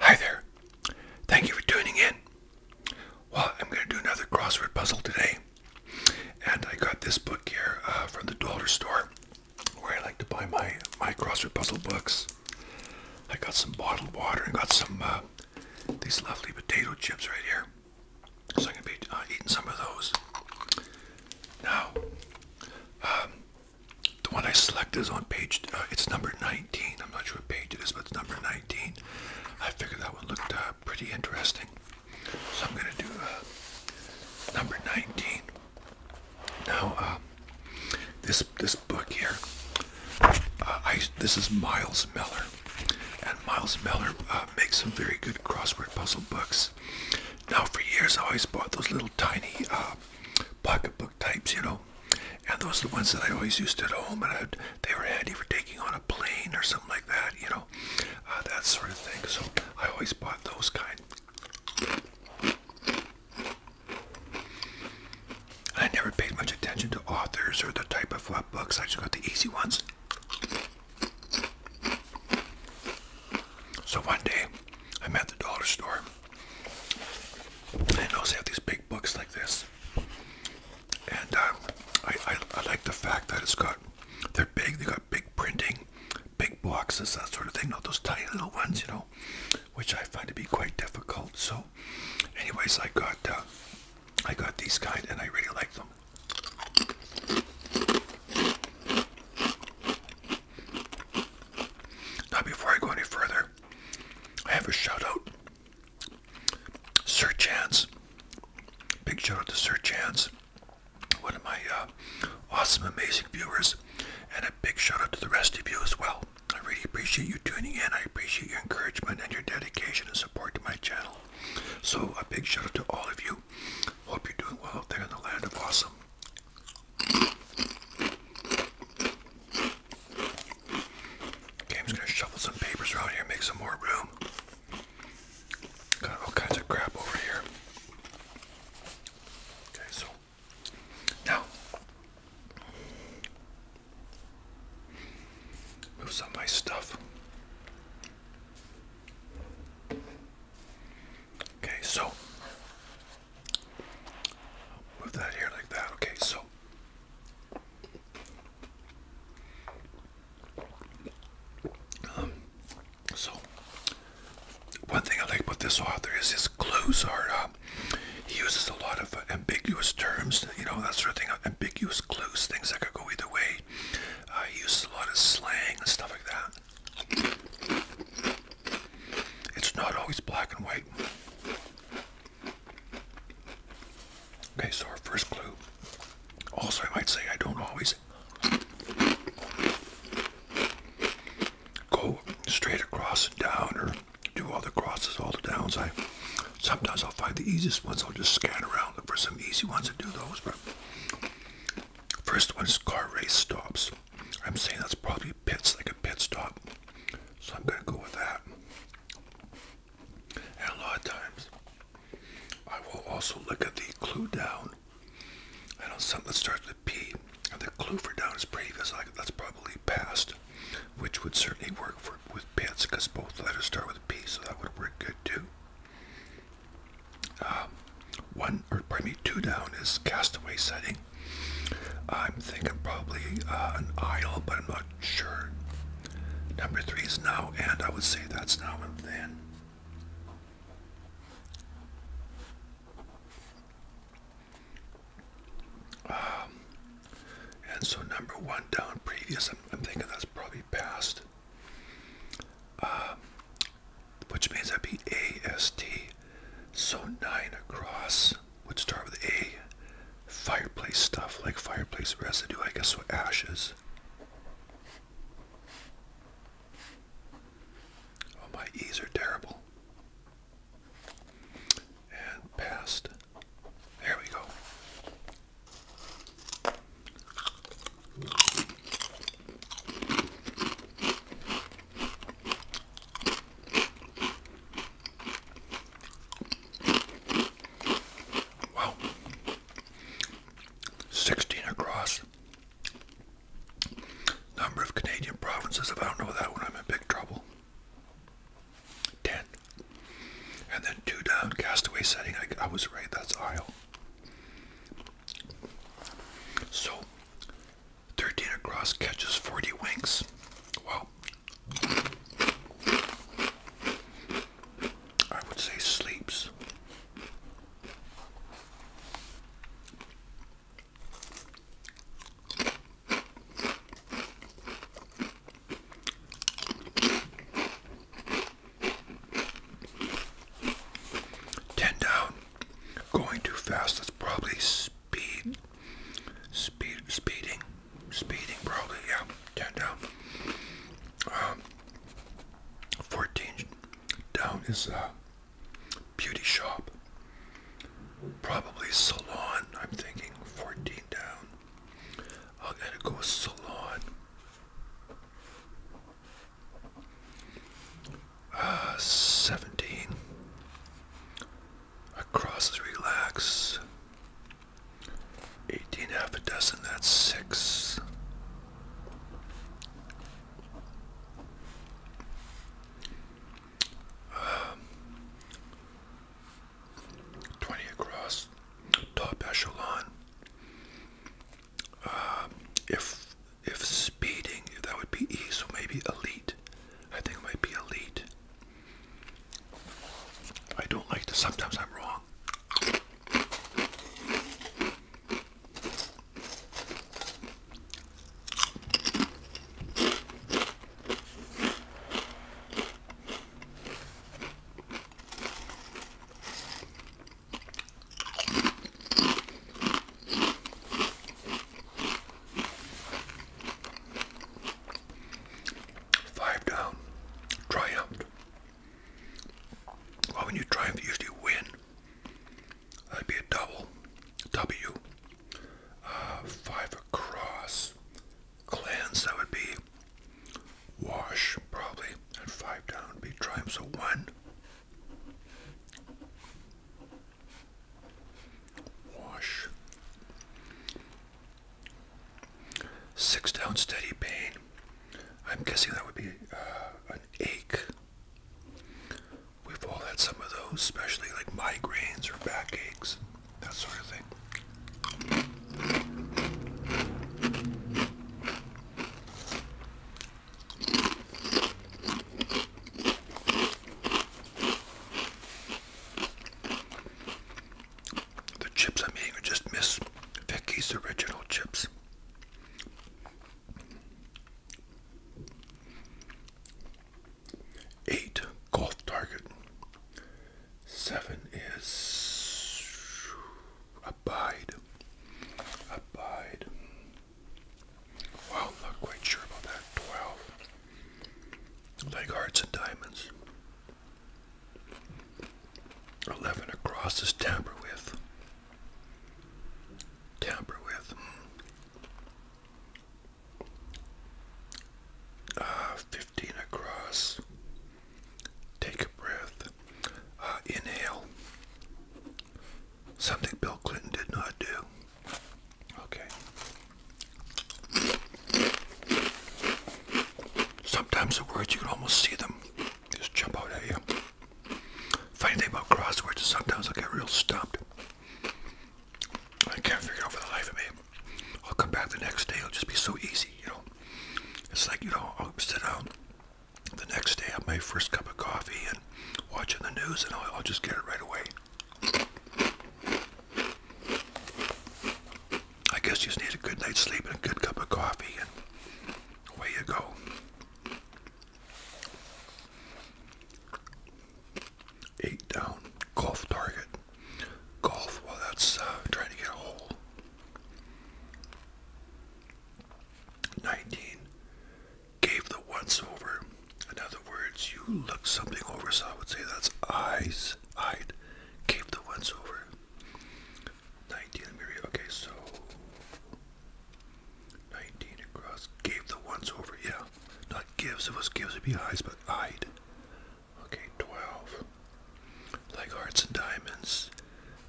Hi there. Thank you for tuning in. Well, I'm going to do another crossword puzzle today. And I got this book here uh, from the dollar store where I like to buy my my crossword puzzle books. I got some bottled water and got some uh, these lovely potato chips right here. So I'm gonna be uh, eating some of those. Now, um, the one I selected is on page. Uh, it's number 19. I'm not sure what page it is, but it's number 19. I figured that one looked pretty interesting. So I'm gonna do number 19. Now, uh, this this book here, uh, I this is Miles Miller, and Miles Miller uh, makes some very good crossword puzzle books. Now, for years, I always bought those little tiny uh, pocketbook types, you know, and those are the ones that I always used at home, and they were handy for taking on a plane or something like that, you know, that sort of thing. So I always bought those kind. I never paid much attention to authors or the type of uh, books. I just got the easy ones. So one day, I'm at the dollar store. And I notice they have these big books like this. And um, I, I, I like the fact that it's got, they're big, they got big printing, big boxes, that sort of thing. Not those tiny little ones, you know which I find to be quite difficult. So, anyways, I got uh, I got these guys, and I really like them. Now, before I go any further, I have a shout out. Sir Chance, big shout out to Sir Chance, one of my uh, awesome, amazing viewers, and a big shout out to the rest of you as well. I really appreciate you tuning in. I appreciate your encouragement and your dedication and support to my channel. So a big shout out to all of you. Hope you're doing well out there in the land of awesome. Okay, gonna shuffle some papers around here, make some more room. Got all kinds of crap over here. Okay, so now, move some my stuff. Okay, so move that here like that. Okay, so. Um, so, one thing I like about this author is his clothes are up. Uh, um, he uses a lot of uh, ambiguous terms, you know, that sort of thing, ambiguous clues, things that could go either way. Uh, he uses a lot of slang and stuff like that. It's not always black and white. Okay, so our first clue. Also, I might say I don't always go straight across and down or do all the crosses, all the downs. I sometimes I'll find the easiest ones. I'll just scan around, for some easy ones and do those. But first one is car race stops. I'm saying that's probably pits, like a pit stop. So I'm gonna go with that. And a lot of times, I will also look at the clue down. And on something that starts P and the clue for down is previous. Like that's probably past, which would certainly work for with pants, because both letters start with P, so that would work good too. Um, one or pardon me, two down is castaway setting. I'm thinking probably uh, an isle, but I'm not sure. Number three is now and. I would say that's now and then. Um, and so number one down previous, I'm, thinking that's probably past. Um, which means that'd be AST. So nine across would start with A. Fireplace stuff, like fireplace residue, I guess, so ashes. Oh, my E's are terrible and past. There we go. Wow. 16 across. Number of Canadian provinces. If I don't know that one, I'm in big trouble. Ten. And then two down, castaway setting. I, was right, that's Isle. So, 13 across catches 40 winks. Wow. I would say sleeps. Ten down. Going too fast. That's probably speed. Speed. Speeding. Speeding. Probably. Yeah. Ten down. Um, fourteen down is uh, Beauty shop. Probably salon, I'm thinking. 14 down. i gotta go salon. Uh, 17. Across is relax. 18, half a dozen, that's 6. Um, 20 across, top echelon. Um, if if speeding, that would be E, so maybe elite. I think it might be elite. I don't like to. Sometimes I'm wrong. Five down, triumphed. Well, when you triumph, you usually win. That'd be a double W. Uh, five across. Cleanse, that would be wash, probably. And five down be triumph, so one. Wash. Six down, steady pain. I'm guessing that would be uh, an ache. We've all had some of those, especially like migraines or backaches, that sort of thing. The chips I'm eating are just Miss Vicky's original chips. Eight golf target. Seven is abide. Abide. Well, I'm not quite sure about that. Twelve. Like hearts and diamonds. Eleven across is tamper with. Tamper with. Uh, 15 across. Take a breath. Uh, inhale. Something Bill Clinton did not do. Okay. Sometimes the words, you can almost see them. Just jump out at you. Funny thing about crosswords is sometimes I get real stumped. I can't figure it out for the life of me. I'll come back the next day. It'll just be so easy, you know. It's like, you know, I'll sit down the next day, have my first cup of coffee and watching the news, and I'll, I'll just get it right away. I guess you just need a good night's sleep and a good cup of coffee, and away you go eight down, golf target. Golf, well that's uh, trying to get a hole. 19, gave the once over. In other words, you looked something over, so I would say that's eyes, eyed, gave the once over. 19, okay, so 19 across. Gave the once over. Yeah. Not gives. It was gives. It'd be eyes, but eyed. Okay, 12. Like hearts and diamonds.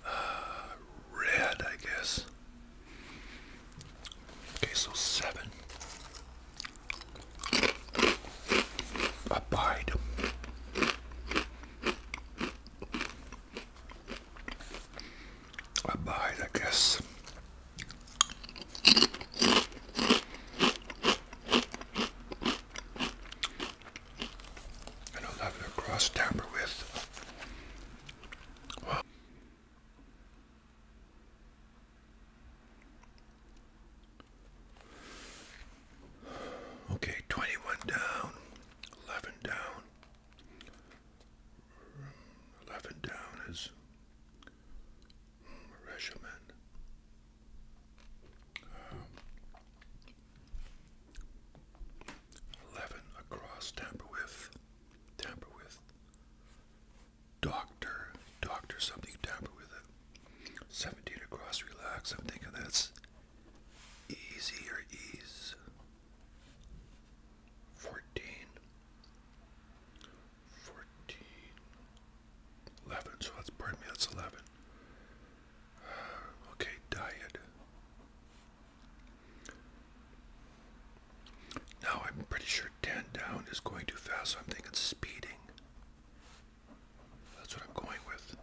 Uh, red, I guess. Okay, so 7. Abide. Abide, I guess. And a lovely cross tamper with. Okay, 21 down, 11 down, 11 down is regimen. Um, 11 across, tamper with, tamper with, doctor, doctor something, tamper with it. 17 across, relax, I'm thinking that's easy or ease. 14 fourteen, eleven. So that's pardon me. That's eleven. okay, diet. Now I'm pretty sure ten down is going too fast. So I'm thinking speeding. That's what I'm going with.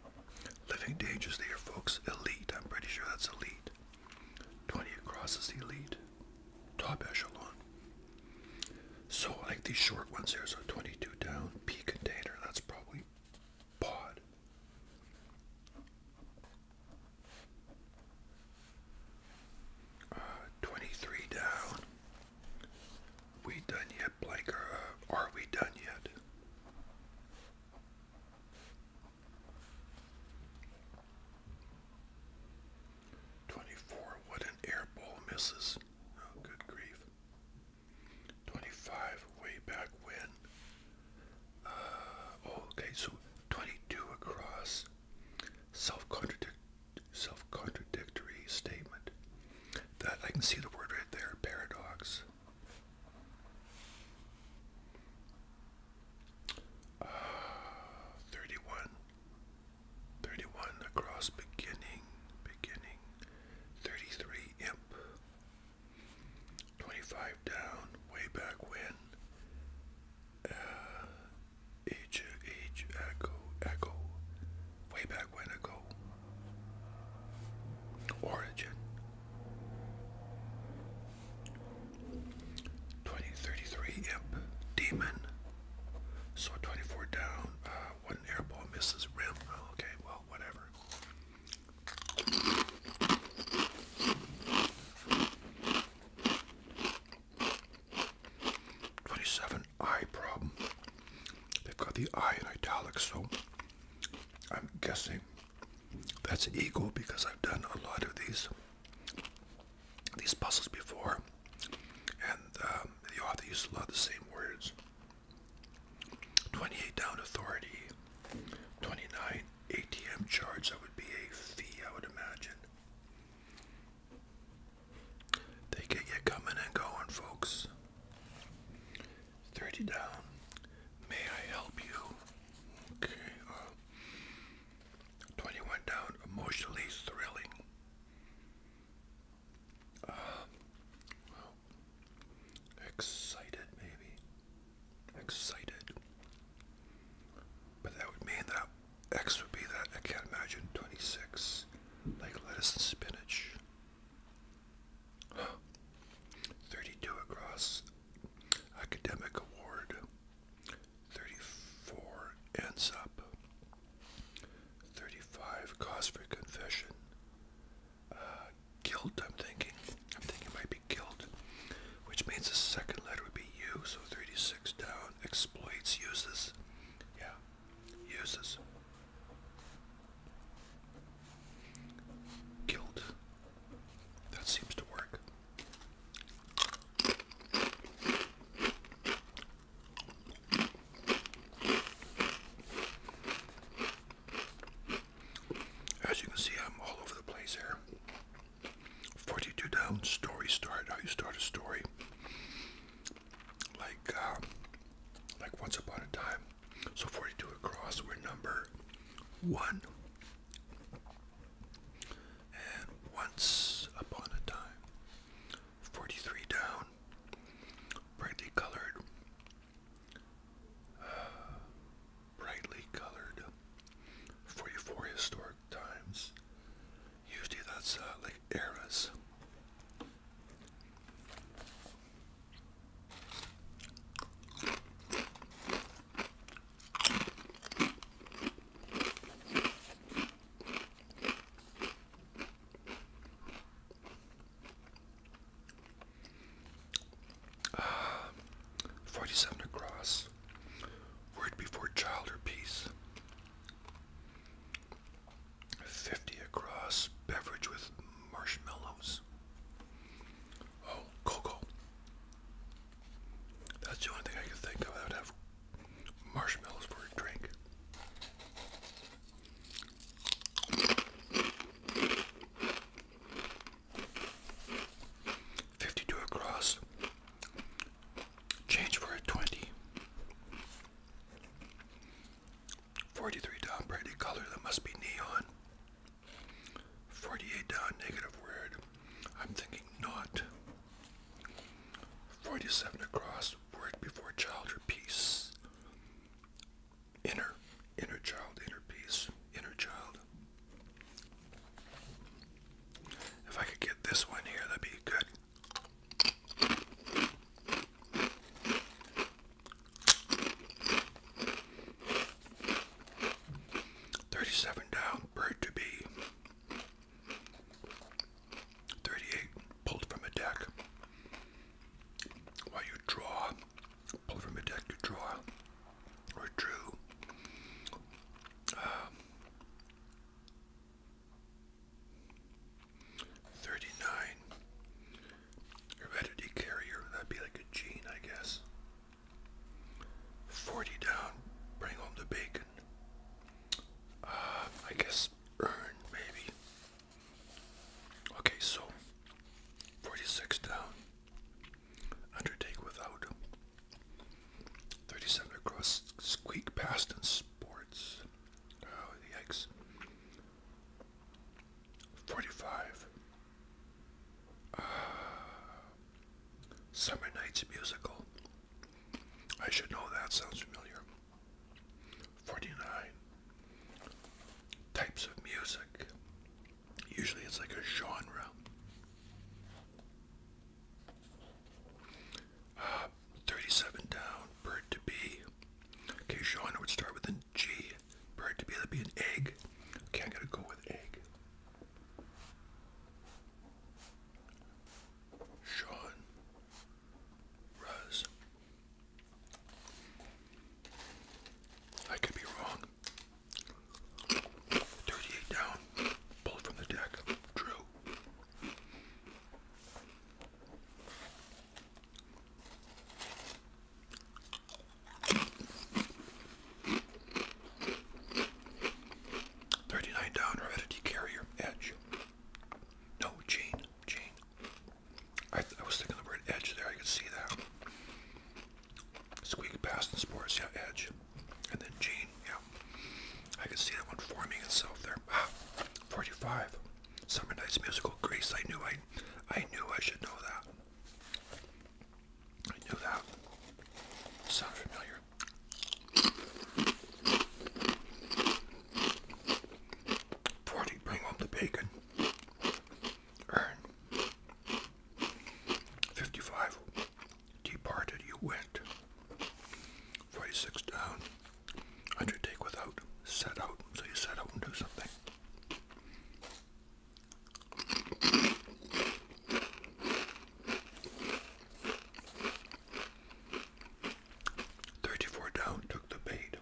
Living dangers folks. Elite. I'm pretty sure that's elite. Twenty across is elite. Top echelon. So I like these short ones here. So 22 down, P container. That's probably pod. Uh, 23 down. We done yet, Blake? Uh, are we done yet? 24. What an airball, misses. Oh, good grief. 25. Way back when. Uh, oh, okay, so 22 across. self contradict, self contradictory statement. That I can see the word right there, paradox. Uh, 31. 31 across beginning, beginning, 33 imp, 25 down, way back when, uh, age, echo, echo, way back when ago, origin, 2033 imp, demon, so 24 down, uh, one air ball misses rim. Oh, okay, well, whatever. Twenty-seven eye problem. They've got the eye in italics, so I'm guessing that's ego because I've done a lot of these these puzzles before, and um, the author used a lot of the same words. 28 down authority, 29 ATM charge, that would be a fee, I would imagine. They get you coming and going, folks. 30 down, may I help you? Okay, uh, 21 down, emotionally thrilling. Um, excited maybe. Excited. But that would mean that X would be that I can't imagine 26. Like lettuce and spinach. 32 across academic award. 34 ends up. 35 cause for confession. Uh, guilt, I'm thinking. I'm thinking might be guilt, which means the second letter would be U, so 36 down, exploits, uses. Yeah, uses. Guilt. That seems to work. As you can see, I'm all over the place here. 42 down, story start, how you start a story. Like, uh, like once upon a time. So 42 across, we're number one and Once Upon a Time. 43 down, brightly colored, brightly colored, 44 historic times. Usually that's uh, like eras. 47 across. Word before child or peace. 50 across. Beverage with marshmallows. Oh, cocoa. That's the only thing I can think of that would marshmallows for a drink. Fifty-two across. Change for a twenty. Forty-three down, color that must be neon. Forty-eight down, negative word. I'm thinking not. 47 across, word before child or peace. Inner, inner child, inner peace, inner child. If I could get this one here, that'd be good. Thirty-seven down, bird to be. 38 pulled from a deck. While you draw, pull from a deck, you draw, or drew. Um, 39 heredity carrier, that'd be like a gene, I guess. 40 down, bring home the bacon. Uh, I guess, earn maybe. Okay, so 46 down, undertake without, 37 across, squeak past and sports. Oh, yikes. 45. Ah. Summer Nights Musical. I should know that sounds familiar. 49 types of music. Usually it's like a genre. Uh, 37 down, bird to be. Okay, genre would start with a G. Bird to be, that'd be an egg. Okay, i gonna go with egg. Sean Rose. I could be wrong. 38 down. Pulled from the deck. Drew. 39 down, heredity carrier, edge. No, gene, gene. I, was thinking the word edge there, I could see that. Squeak past the sports, yeah, edge. And then gene, yeah. I can see that one forming itself there. Ah, 45. Summer Nights Musical Grace, I knew I, I knew I should know that. I knew that. Sounds familiar. Forty, bring home the bacon. Earn. Fifty-five, departed you went. Forty-six down. Undertake without. Set out. So you set out and do something. 34 down took the bait.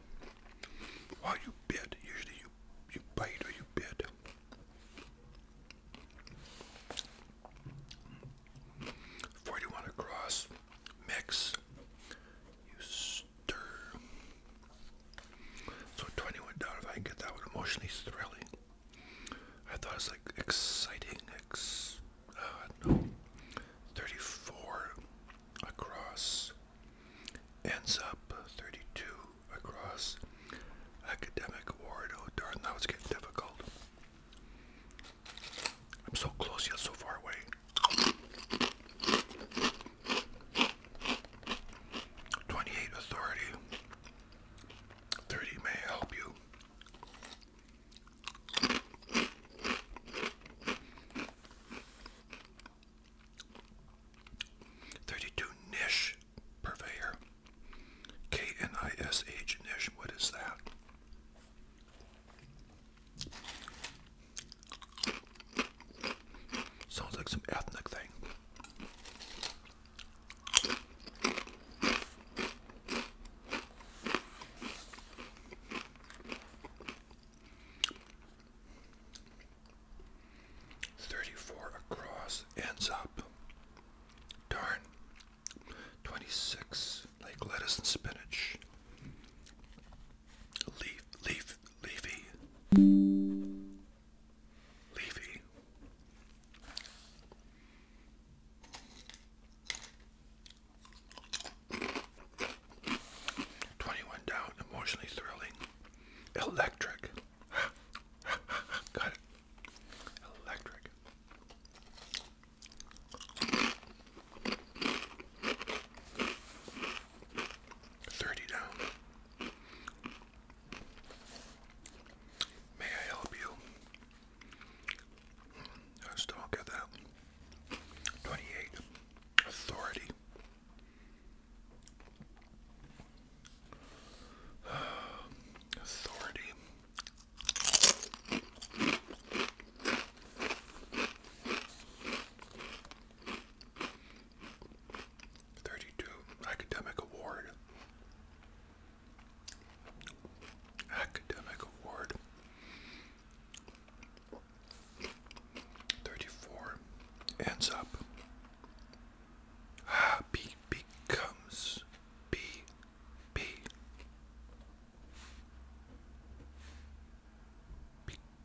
While you bit, usually you, you bite or you bit. Forty-one across, mix, you stir. So twenty-one down. If I get that one emotionally thrilling, I thought it's like exciting 36, uh, no, 34 across, ends up 32 across academic award. Oh, darn, now it's getting difficult. I'm so close yet so far away. Twenty-eight authority. Thirty may help you. Thirty-two niche purveyor. K N I S H niche. What is that? Sounds like some ethnic thing. Thirty-four across ends up. Darn. Twenty-six like lettuce and spinach. Leaf, leaf, leafy, leafy. 21 down, emotionally thrilling. Electric. Got it. Electric. Thirty down. May I help you? I still don't get that. 28. Authority. authority. Thirty-two academic award. Academic Award. 34 ends up. Ah, becomes B, Be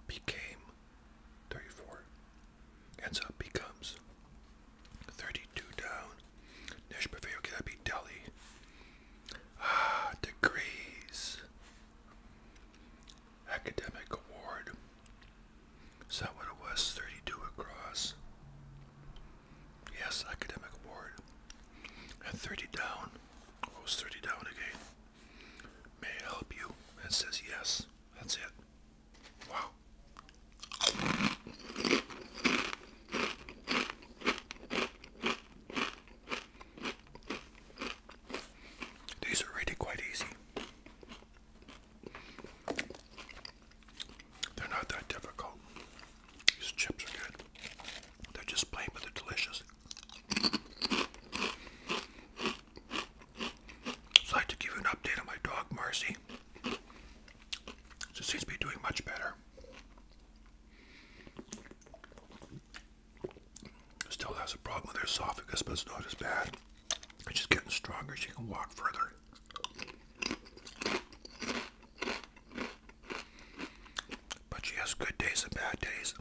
became 34. Ends up becomes 32 down. Nächste Bewegung could be Delhi. Ah, degrees. Academic award. Is that what it was? 32 across. Yes, academic award. And 30 down. Oh, 30 down again. May I help you? It says yes. That's it. Wow. These are really quite easy. They're not that difficult. These chips are good. They're just plain, but they're delicious. So I'd to give you an update on my dog, Marcy. She seems to be doing much better. Still has a problem with her esophagus, but it's not as bad. She's getting stronger. She can walk further. But she has good days and bad days.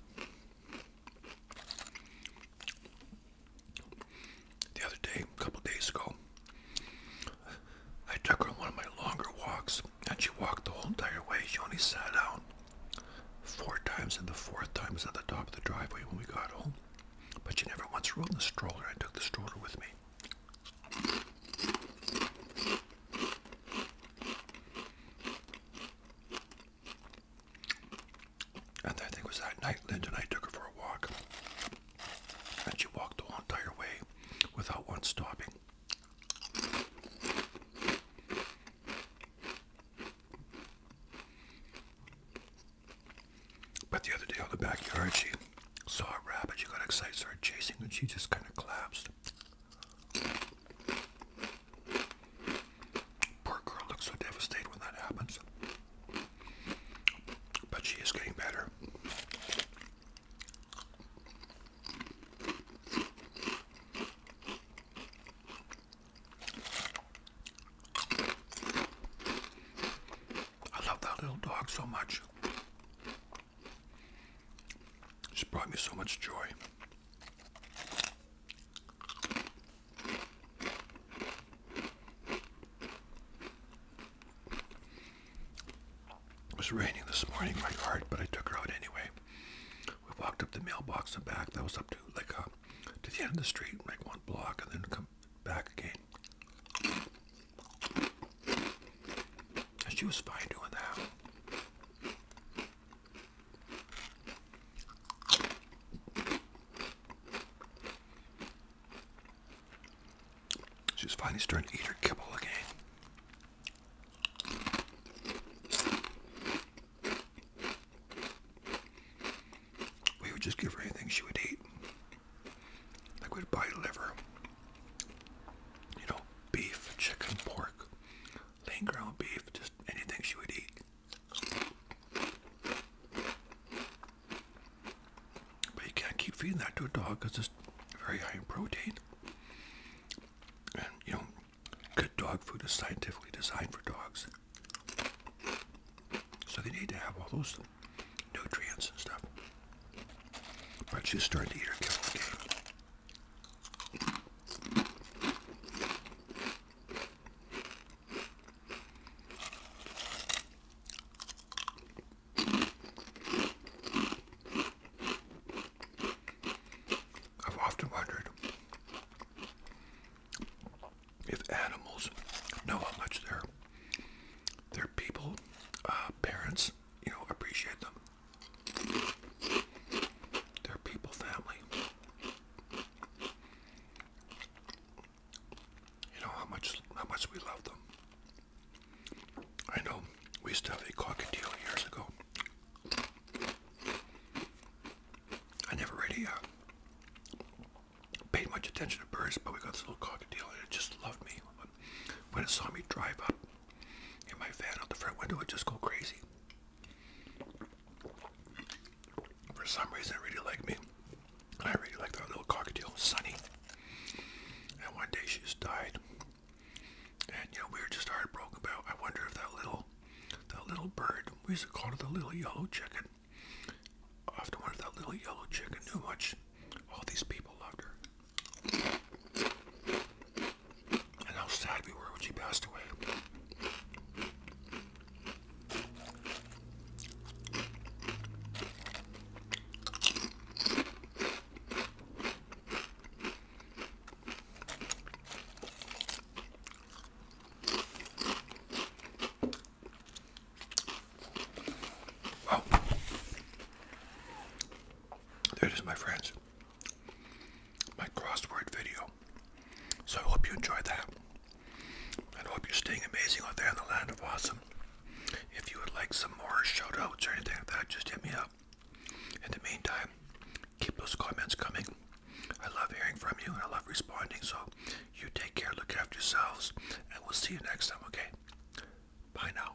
The other day, a couple days ago, I took her on one of my longer walks, and she walked the whole entire way. She only sat down four times, and the fourth time was at the top of the driveway when we got home. But she never once rode in the stroller. I took the stroller with me. And I think was that night, Linda and I took her for a walk. And she walked the whole entire way without once stopping. But the other day on the backyard, she saw a rabbit. She got excited, started chasing, and she just kind of collapsed. Poor girl looks so devastated when that happens. But she is getting better. I love that little dog so much. She's brought me so much joy. It was raining this morning my heart. but I took her out anyway. We walked up the mailbox and back. That was up to like uh, to the end of the street, like one block, and then come back again. she was fine doing that. She's finally starting to eat her kibble again. We would just give her anything she would eat. Like we'd buy liver, you know, beef, chicken, pork, lean ground beef, just anything she would eat. But you can't keep feeding that to a dog because it's very high in protein. And you know, good dog food is scientifically designed for dogs. So they need to have all those nutrients and stuff. But she's starting to eat her kibble again. I've often wondered if animals know how much their their people, uh, parents, you know, appreciate them. Their people, family. You know how much how much we love them. I know we used to have a cockatiel years ago. I never really uh, paid much attention to birds, but we got this little cockatiel and it just loved me. When it saw me drive up in my van out the front window, it just go crazy. For some reason, I really like me. I really like that little cockatiel, Sunny. And one day she just died. And you we were just heartbroken about. I wonder if that little, that little bird, we used to call it the little yellow chicken. I often wonder if that little yellow chicken knew much. All these people loved her. And how sad we were when she passed away. Wow. Oh. There it is, my friends. My crossword video. So I hope you enjoyed that. And I hope you're staying amazing out there in the land of awesome. If you would like some more shout outs or anything like that, just hit me up. In the meantime, keep those comments coming. I love hearing from you and I love responding. So you take care, look after yourselves, and we'll see you next time, okay? Bye now.